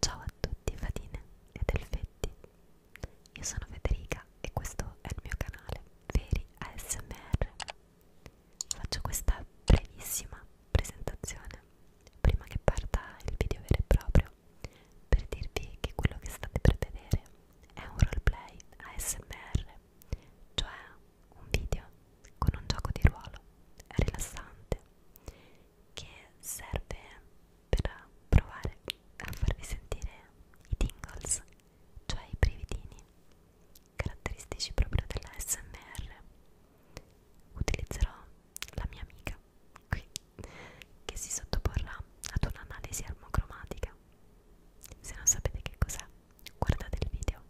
Ciao a tutti fatine ed elfetti, io sono Federica e questo è il mio canale Veri ASMR. Faccio questa brevissima presentazione prima che parta il video vero e proprio per dirvi che quello che state per vedere è un roleplay ASMR, cioè un video con un gioco di ruolo rilassante che serve per provare a farvi sentire i tingles, cioè i brividini caratteristici proprio della SMR. Utilizzerò la mia amica qui che si sottoporrà ad un'analisi armocromatica. Se non sapete che cos'è, guardate il video.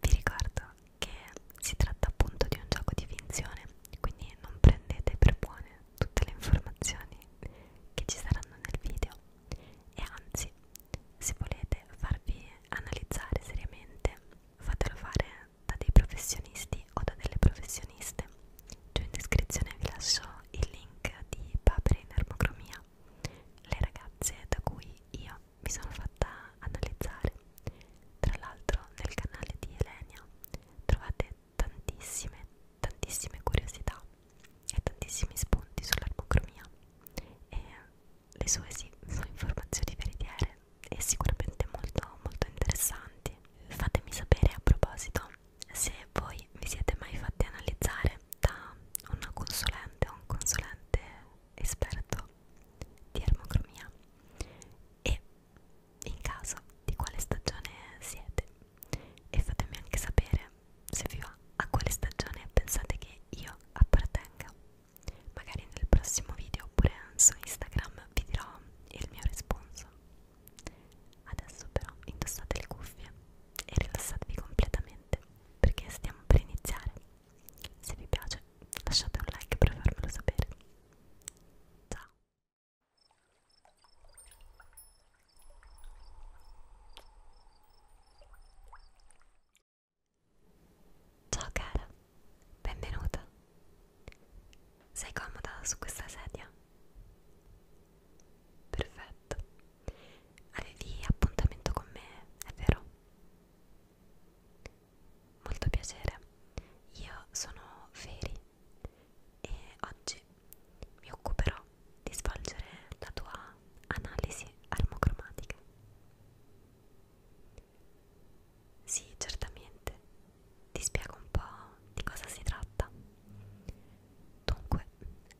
Vi ricordo che si tratta appunto di un gioco di finzione, quindi non prendete per buone tutte le informazioni che ci saranno nel video e anzi, se volete farvi analizzare seriamente, fatelo fare da dei professionisti o da delle professioniste. Giù cioè, in descrizione vi lascio il link di Papere in Armocromia, le ragazze da cui io mi sono fatta analizzare. Tra l'altro nel canale di Elenia trovate tantissime, tantissime curiosità e tantissimi spunti sull'armocromia e le sue sì, sono informazioni veritiere e sicuramente molto, molto interessanti. Fatemi sapere a proposito se voi vi siete mai fatti analizzare da una consulente o un consulente esperto di ermocromia e in caso di quale stagione siete e fatemi anche sapere se vi va a quale stagione pensate che io appartenga magari nel prossimo video oppure su Instagram vi dirò il mio risponso adesso però indossate le cuffie e rilassatevi completamente perché stiamo per iniziare se vi piace lasciate un like per farmelo sapere. Ciao! Ciao cara, benvenuta. Sei comoda su questa sedia? Perfetto. Avevi appuntamento con me, è vero? Molto piacere, io sono Feri e oggi mi occuperò di svolgere la tua analisi armocromatica. Sì, certamente, ti spiego un po' di cosa si tratta. Dunque,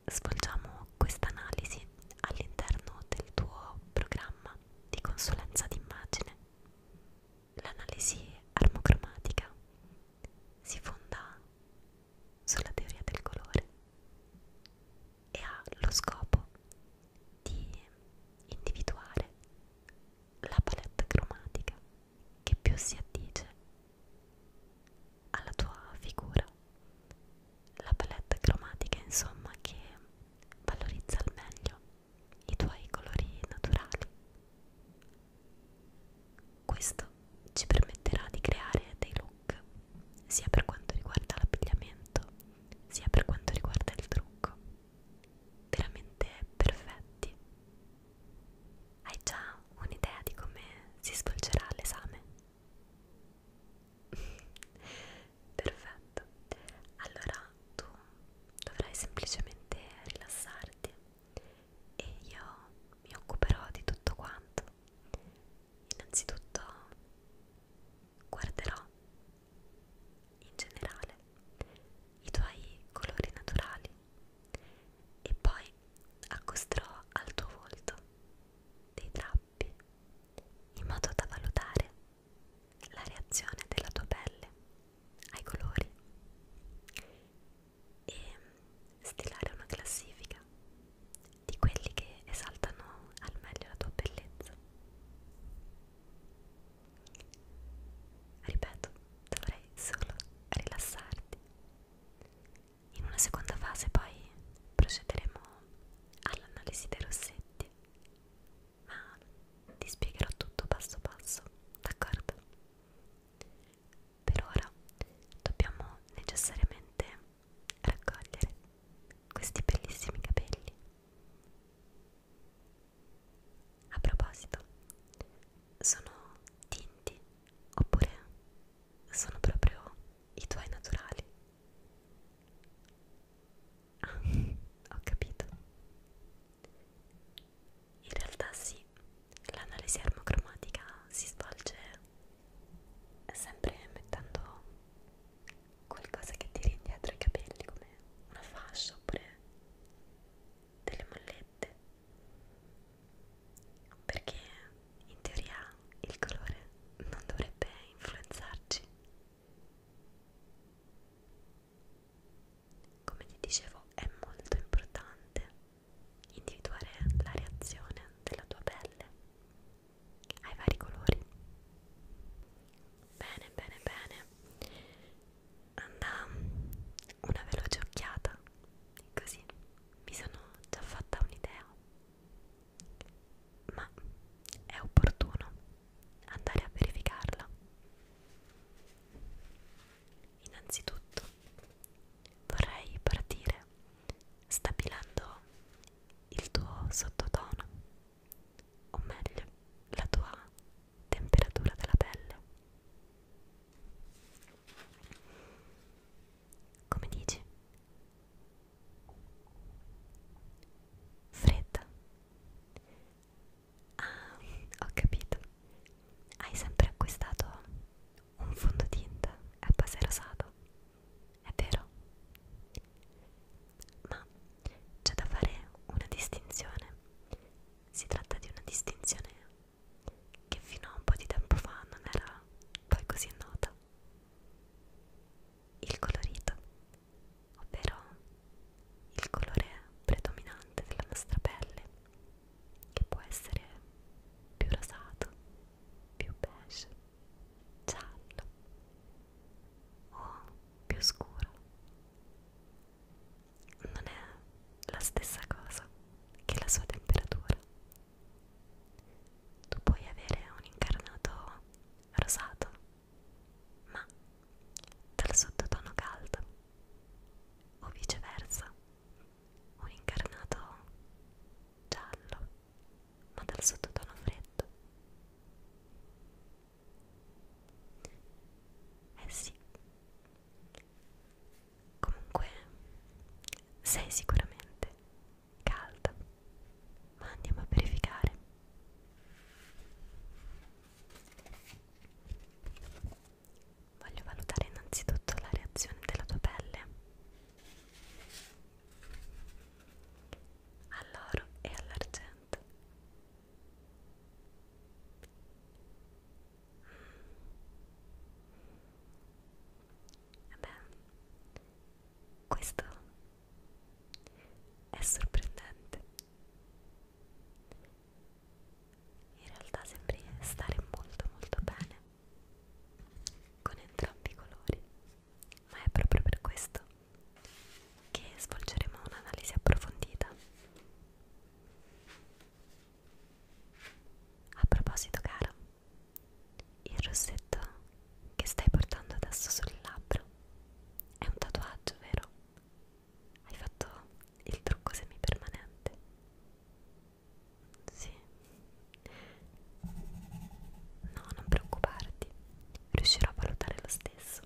svolgiamo questa analisi all'interno del tuo programma di consulenza d'immagine L'analisi armocromatica si fonda sulla teoria del colore e ha lo scopo di individuare la palette cromatica che più si addice alla tua figura, la palette cromatica insomma che valorizza al meglio i tuoi colori naturali. Questo ci permetterà di creare dei look sia per quanto riguarda l'abbigliamento sia per quanto riguarda il trucco veramente perfetti. Hai già un'idea di come si svolgerà l'esame? perfetto allora tu dovrai semplicemente rilassarti e io mi occuperò di tutto quanto innanzitutto guarderò in generale i tuoi colori naturali e poi accosterò al tuo volto dei drappi in modo da valutare la reazione della tua pelle ai colori e stilare una classifica di quelli che esaltano al meglio la tua bellezza. Ripeto, dovrei solo rilassarti. In una seconda fase poi procederemo all'analisi dei rossetti ma ti spiegherò tutto passo passo, d'accordo? Per ora dobbiamo necessariamente raccogliere questi bellissimi capelli. A proposito, sono tinti oppure sono proprio i tuoi naturali? Ah, ho capito. In realtà sì, l'analisi armocromatica si svolge sempre mettendo qualcosa che tiri indietro i capelli come una fascia oppure delle mollette perché in teoria il colore non dovrebbe influenzarci come vi dicevo, è molto importante individuare la reazione della tua pelle ai vari colori. Bene, bene, bene. Anda una veloce occhiata, così mi sono già fatta un'idea ma è opportuno andare a verificarla. Innanzitutto vorrei partire stabilendo il tuo sottotono, o meglio la tua temperatura della pelle. Come dici? Fredda. Ah, ho capito. Hai sempre acquistato un fondotinta a base rosato, è vero? Ma c'è da fare una distinzione. Si tratta di una distinzione che fino a un po' di tempo fa non era poi così nota. Il colorito ovvero il colore predominante della nostra pelle, che può essere più rosato, più beige, giallo o più scuro. Non è la stessa cosa che la sua temperatura tu puoi avere un incarnato rosato, ma dal sottotono caldo, o viceversa, un incarnato giallo, ma dal sottotono freddo. Eh sì, comunque sei sicuramente calda ma andiamo a verificare voglio valutare innanzitutto la reazione della tua pelle all'oro e all'argento mm. Vabbè, questo è sorprendente. In realtà sembri stare molto molto bene con entrambi i colori, ma è proprio per questo che svolgeremo un'analisi approfondita. A proposito, cara, il rossetto che stai portando adesso sul labbro è un tatuaggio, vero? Hai fatto il trucco semipermanente? Sì. No, non preoccuparti, riuscirò a valutare lo stesso.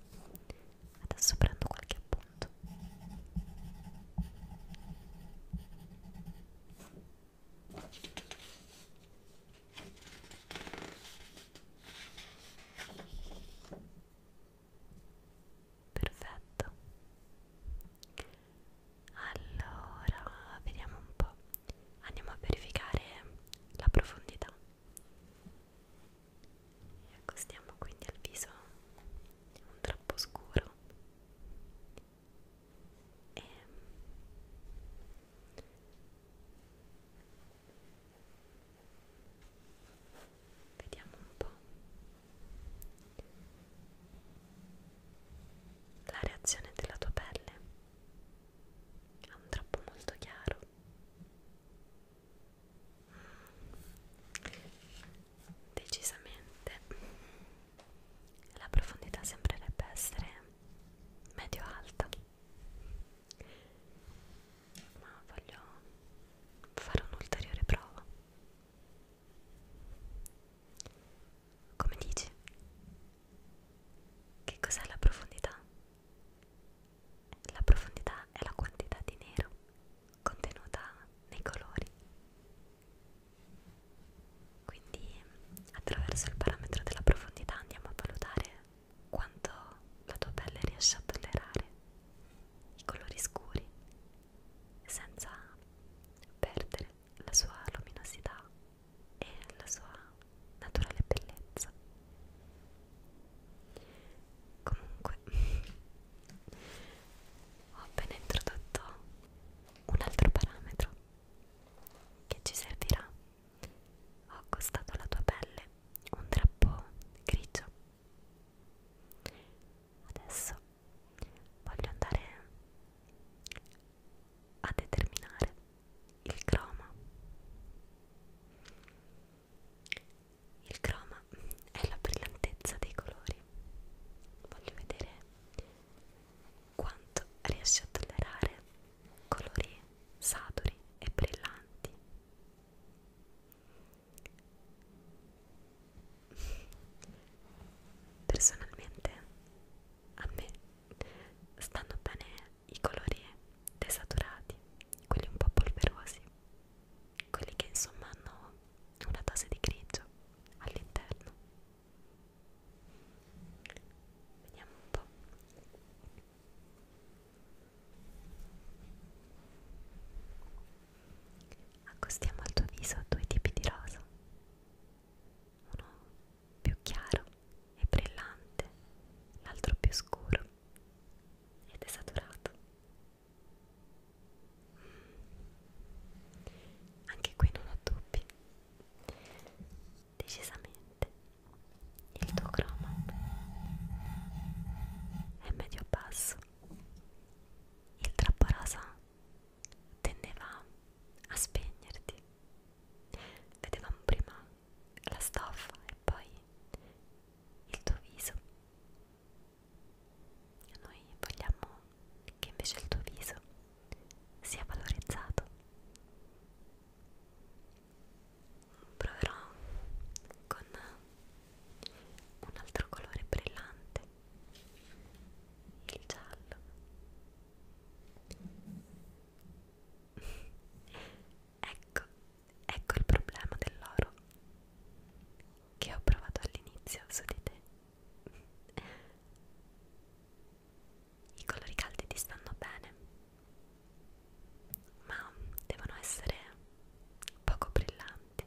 Adesso prendo qualche appunto. Perfetto. Allora, vediamo un po'. Andiamo a verificare la profondità. E accostiamo quindi al viso un troppo scuro e ehm, vediamo un po' la reazione della tua pelle è un troppo molto chiaro decisamente la profondità sembrerebbe essere medio alta ma voglio fare un'ulteriore prova come dici? che cos'è la profondità? la profondità è la quantità di nero contenuta nei colori quindi attraverso il parametro della profondità andiamo a valutare quanto la tua pelle riesce a tollerare i colori scuri senza perdere la sua luminosità e la sua naturale bellezza. Comunque ho appena introdotto un altro parametro che ci servirà. Ho accostato alla tua pelle un drappo grigio. Adesso voglio andare a determinare il croma. Il croma è la brillantezza dei colori. Voglio vedere quanto riesce a tollerare colori saturi e brillanti. Personalmente a me stanno bene i colori desaturati, quelli un po' polverosi, quelli che insomma hanno una dose di grigio all'interno Vediamo un po'. Accostiamo al tuo viso due tipi di rosa, uno più chiaro e brillante, l'altro più scuro ed esaturato. Mm. Anche qui non ho dubbi decisamente il tuo croma è medio basso il trappo rosa tendeva a spegnerti vedevamo prima la stoffa e poi il tuo viso noi vogliamo che invece il tuo viso sia valorizzato. Proverò con un altro colore brillante, il giallo. ecco, ecco il problema dell'oro che ho provato all'inizio su di te i colori caldi ti stanno bene, ma devono essere poco brillanti.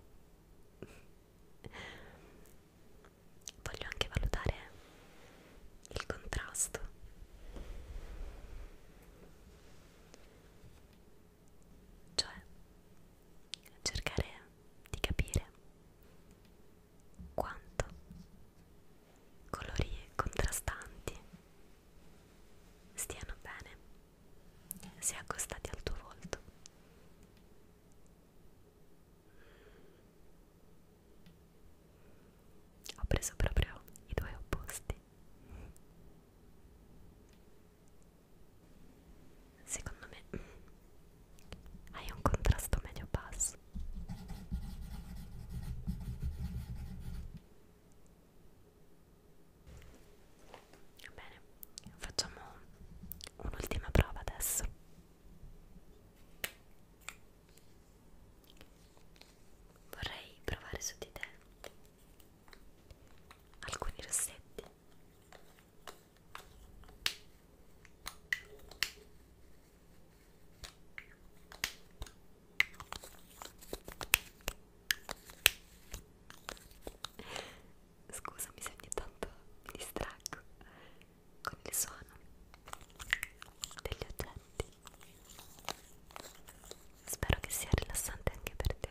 Voglio anche valutare il contrasto. Cioè, cercare di capire quanto colori contrastanti stiano bene se accostati al tuo volto ho preso proprio i due opposti secondo me hai un contrasto medio basso va bene facciamo un'ultima prova adesso vorrei provare su di te alcuni rossetti Scusami se ogni tanto mi distraggo con il suono degli oggetti. Spero che sia rilassante anche per te.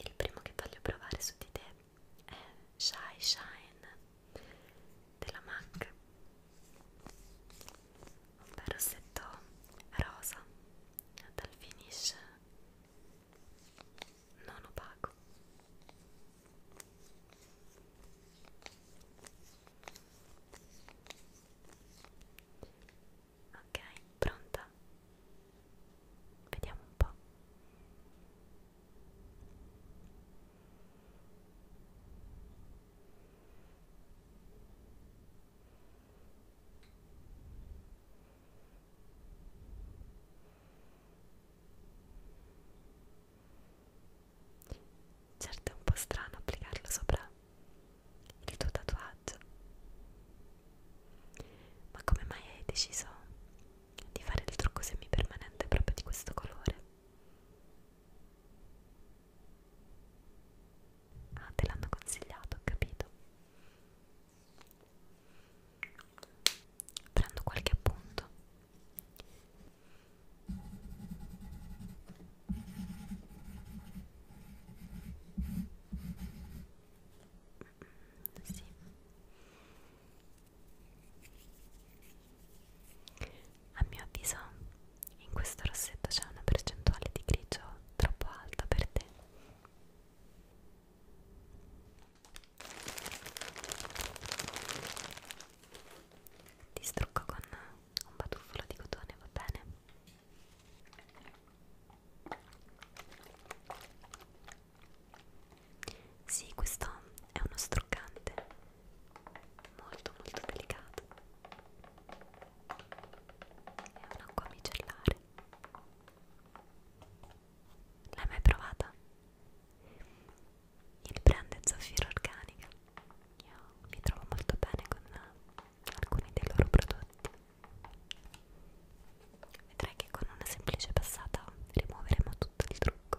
Il primo che voglio provare su di te è Shy Shine della MAC, un rossetto rosa dal finish non opaco. Ok, pronta? Vediamo un po'. Certo è un po' strano applicarlo sopra il tuo tatuaggio. Ma come mai hai deciso di fare il trucco semipermanente proprio di questo colore? Ah, te l'hanno consigliato, ho capito. Prendo qualche appunto sì a mio avviso in questo rossetto c'è una percentuale di grigio troppo alta per te ti strucco con un batuffolo di cotone, va bene? Sì, questo è uno struccante molto molto delicato. È un'acqua micellare. L'hai mai provata? Il brand è Zafiro Organica. Io mi trovo molto bene con alcuni dei loro prodotti. Vedrai che con una semplice passata rimuoveremo tutto il trucco.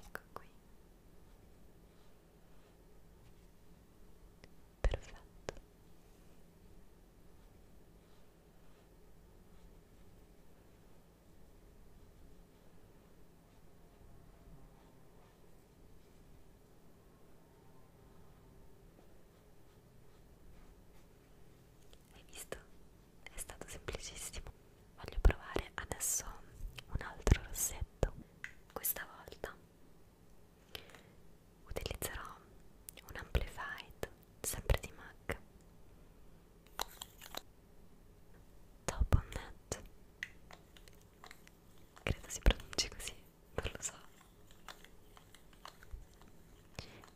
Ecco qui. Perfetto. Hai visto? È stato semplicissimo. Voglio provare adesso un altro rossetto. Questa volta utilizzerò un amplified sempre di MAC Topomet credo si pronunci così, non lo so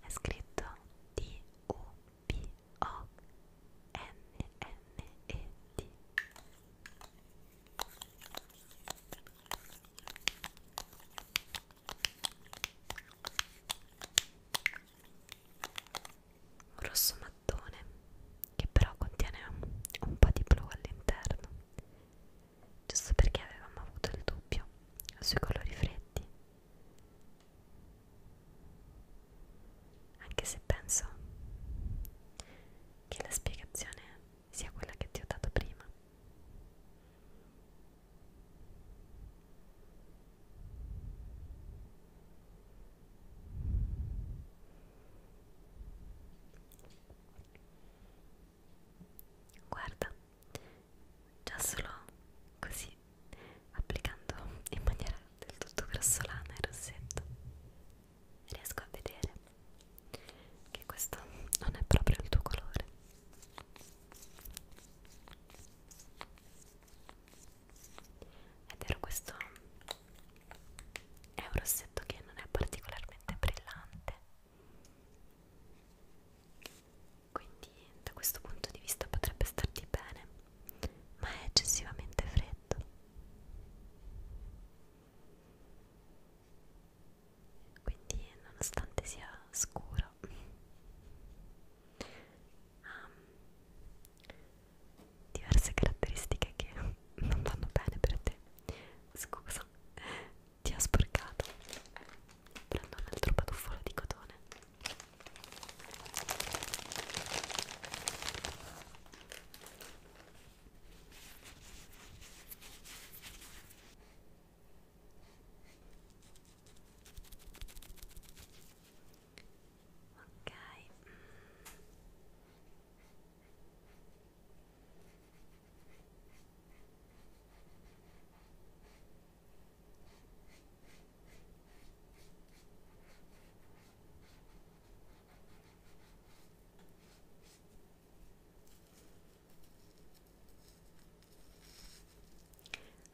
è scritto D-U-P-O-N-N-E-T un rosso mattone che però contiene un po' di blu all'interno giusto perché avevamo avuto il dubbio sui colori freddi anche se penso che la spiegazione sia quella che ti ho dato prima Guarda, già solo così, applicando in maniera del tutto grossolana il rossetto, riesco a vedere che questo non è proprio il tuo colore ed era questo è un rossetto che non è particolarmente brillante quindi da questo punto di vista potrebbe starti bene ma è eccessivamente freddo quindi nonostante sia scuro ha um, diverse caratteristiche che non vanno bene per te scusa ti ha sporcato prendo un altro patuffolo di cotone ok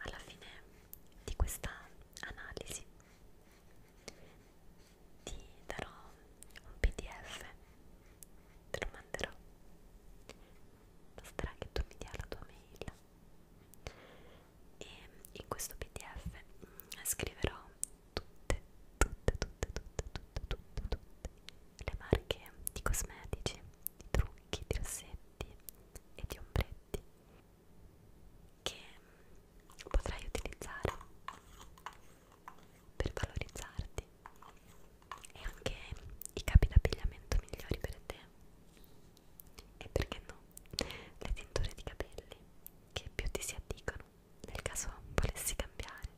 alla fine di questa analisi ti darò un pdf te lo manderò basterà che tu mi dia la tua mail e in questo pdf mm, scriverò tutte tutte tutte tutte tutte tutte tutte le marche di cosmetici di trucchi di rossetti e di ombretti oggetti che potrai utilizzare per valorizzarti e anche i capi d'abbigliamento migliori per te e perché no le tinture di capelli che più ti si addicono nel caso volessi cambiare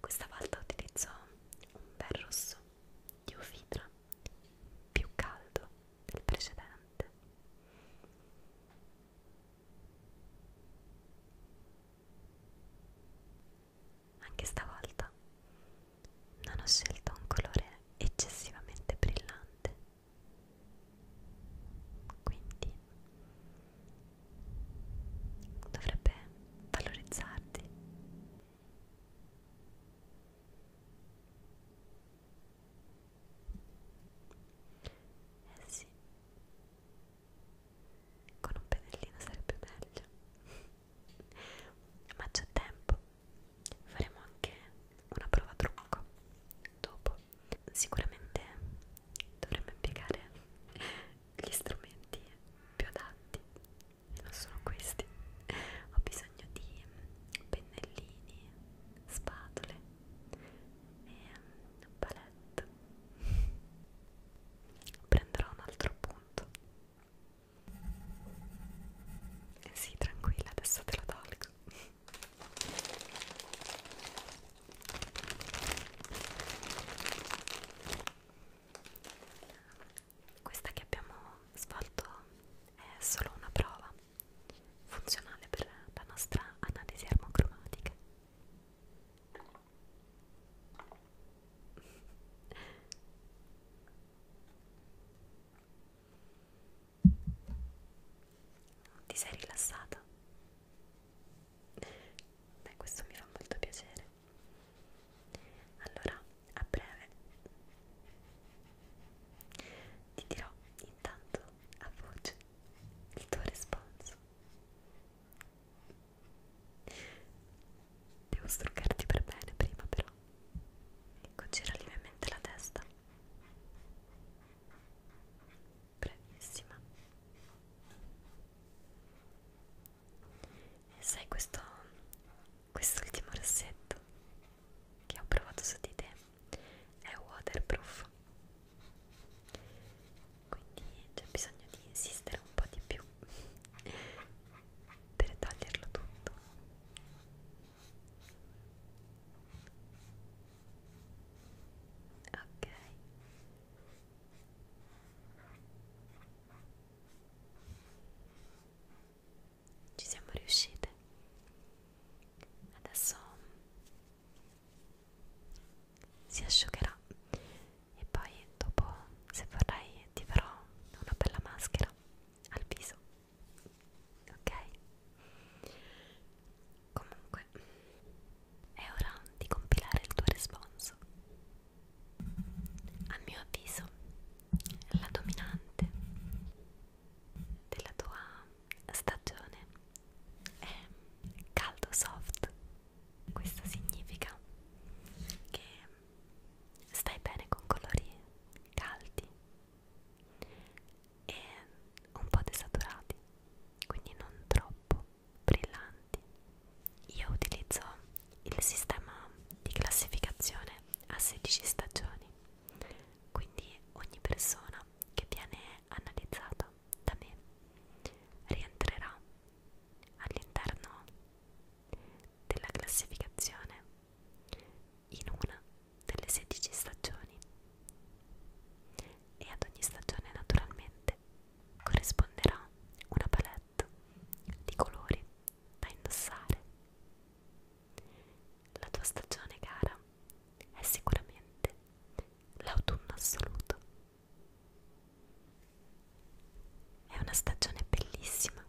questa volta utilizzo un bel rosso di ufitra più caldo del precedente. Anche stavolta non ho scelto un colore eccessivamente brillante, quindi dovrebbe valorizzarti eh sì, con un pennellino sarebbe meglio. Ma c'è tempo, faremo anche una prova trucco dopo. Sicuramente dovremmo impiegare gli strumenti più adatti sono questi ho bisogno di mm, pennellini spatole e mm, um, palette prenderò un altro punto eh sì tranquilla adesso te lo tolgo questa che abbiamo svolto è solo una prova funzionale per la nostra analisi armocromatica. Ti sei rilassata? Beh, questo mi fa molto piacere. Allora, a breve ti dirò intanto a voce il tuo risponso. Devo struccarti per bene prima però. Ecco, gira lievemente la testa. Bravissima. E sai questo quest'ultimo rossetto che ho provato su di te è waterproof quindi c'è bisogno di insistere un po' di più per toglierlo tutto ok ci siamo riuscite adesso si asciugherà e poi dopo se vorrai ti farò una bella maschera al viso ok comunque è ora di compilare il tuo responso a mio avviso la dominante della tua stagione è caldo soft. Questo significa che stai bene con colori caldi e un po' desaturati, quindi non troppo brillanti. Io utilizzo il sistema di classificazione ha 16 stagioni, quindi ogni persona che viene analizzata da me rientrerà all'interno della classificazione in una delle 16 stagioni e ad ogni stagione naturalmente corrisponderà una palette di colori da indossare. La tua stagione, cara, è sicuramente l'autunno assoluto. È una stagione bellissima,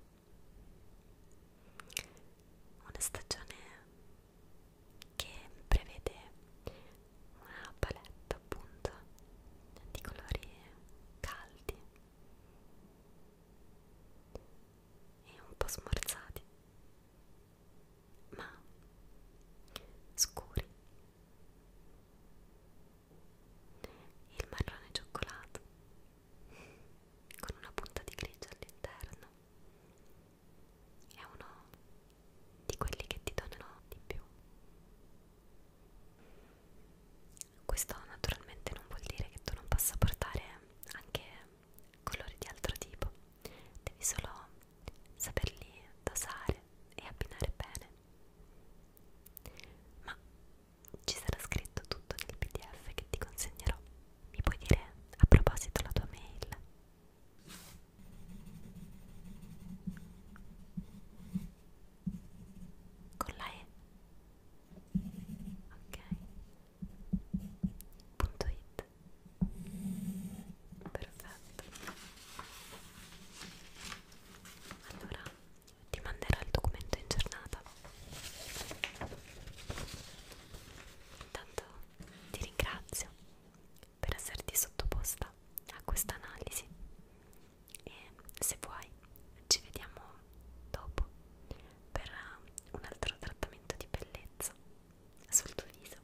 una stagione che prevede una palette appunto di colori caldi e un po' smorzati, ma scuri. Il marrone cioccolato con una punta di grigio all'interno è uno di quelli che ti donano di più questo naturalmente non vuol dire che tu non possa portare anche colori di altro tipo, devi solo saperli dosare e abbinare bene. Ma ci sarà scritto tutto nel PDF che ti consegnerò. Mi puoi dire a proposito la tua mail? Con la E ok punto it perfetto allora ti manderò il documento in giornata intanto ti ringrazio per esserti sottoposta a questa analisi e se vuoi ci vediamo dopo per um, un altro trattamento di bellezza sul tuo viso.